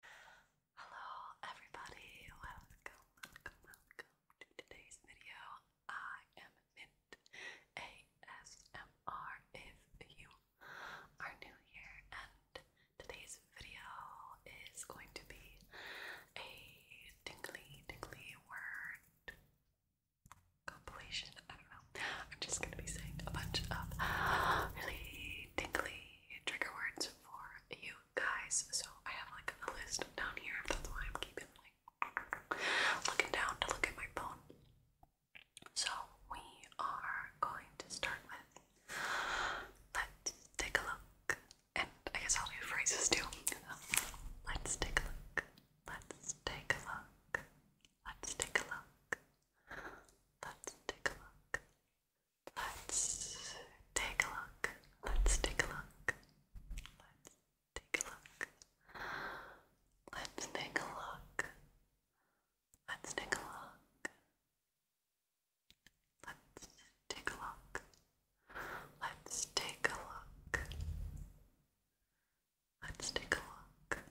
Hello everybody, welcome, welcome, welcome to today's video. I am Mint ASMR if you are new here and today's video is going to be a tingly, tingly word compilation. I don't know. I'm just gonna be saying a bunch of really tingly trigger words for you guys. So I have like a list down here. That's why I'm keeping like looking down to look at my phone. So we are going to start with let's take a look. And I guess I'll do phrases too. let's take a look. Let's take a look. Let's take a look. Let's take a look. Let's take a look. Let's take a look. Let's take a look. Let's take a look. Let's take a look. Let's take a look. Let's take a look. Let's take a look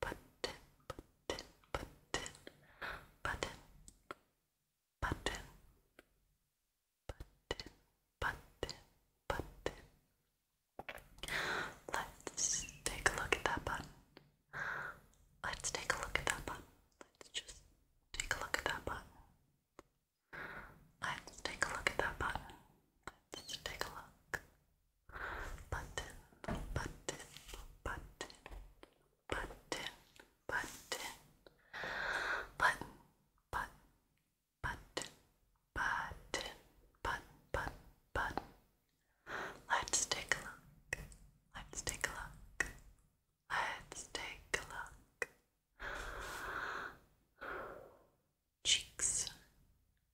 button, button, button, button, button, button, button, button. Let's take a look at that button. Let's take a look at that button. Let's just take a look at that button. Let's take a look at that button. Let's take a look button, button, button, button, button, button, button, button, button, button, button, button. Let's take a look. Let's take a look. Let's take a look. Cheeks,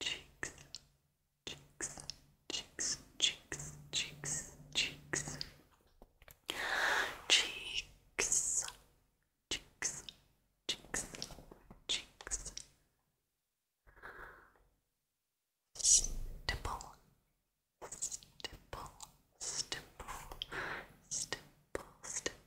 cheeks, cheeks, cheeks, cheeks, cheeks, cheeks, cheeks, cheeks, cheeks, cheeks, stipple, stipple, stipple, stipple, stipple.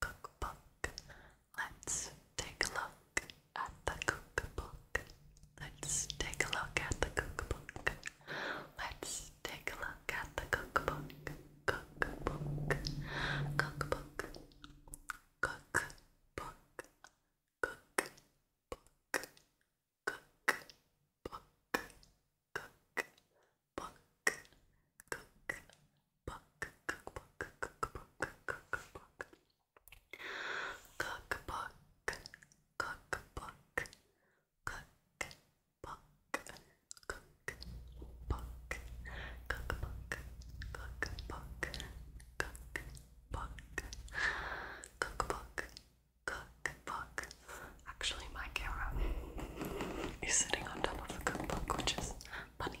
cookbook. Let's take a look at the cookbook. Let's take a look at the cookbook. Let's take a look at the cookbook. Cookbook. Cookbook. Cookbook. Cookbook. Cookbook. Cookbook book, cook, book, cookbook, cookbook, cookbook, cookbook, cookbook, cookbook, cookbook, cookbook, cookbook, cookbook, cookbook, cookbook. Actually, my camera is sitting on top of the cookbook, which is funny.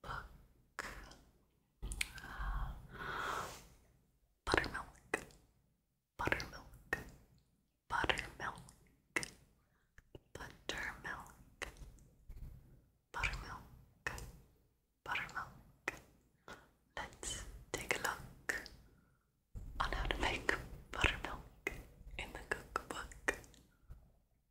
book. Uh, buttermilk, buttermilk, buttermilk, buttermilk, buttermilk, buttermilk. Let's take a look on how to make buttermilk in the cookbook.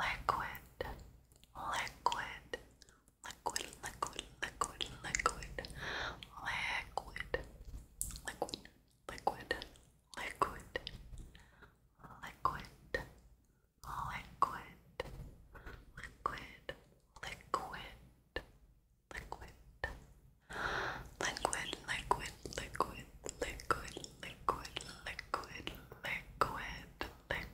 liquid, liquid, liquid, liquid, liquid, liquid, liquid, liquid, liquid, liquid, liquid, liquid, liquid, liquid. Liquid, liquid, liquid, liquid, liquid, liquid, liquid, liquid, liquid,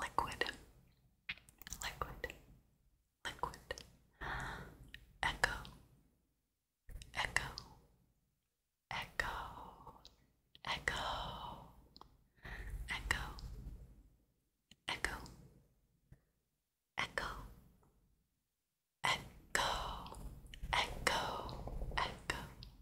liquid, liquid, liquid, echo, echo, echo, echo, echo, echo, echo. Echo, echo,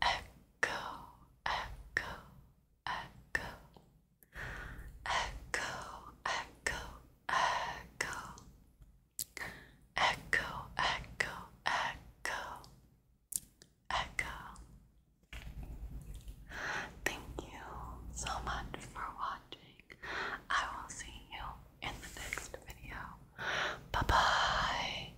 echo, echo, echo, echo, echo, echo, echo, echo, echo, Thank you so much for watching. I will see you in the next video. Bye bye.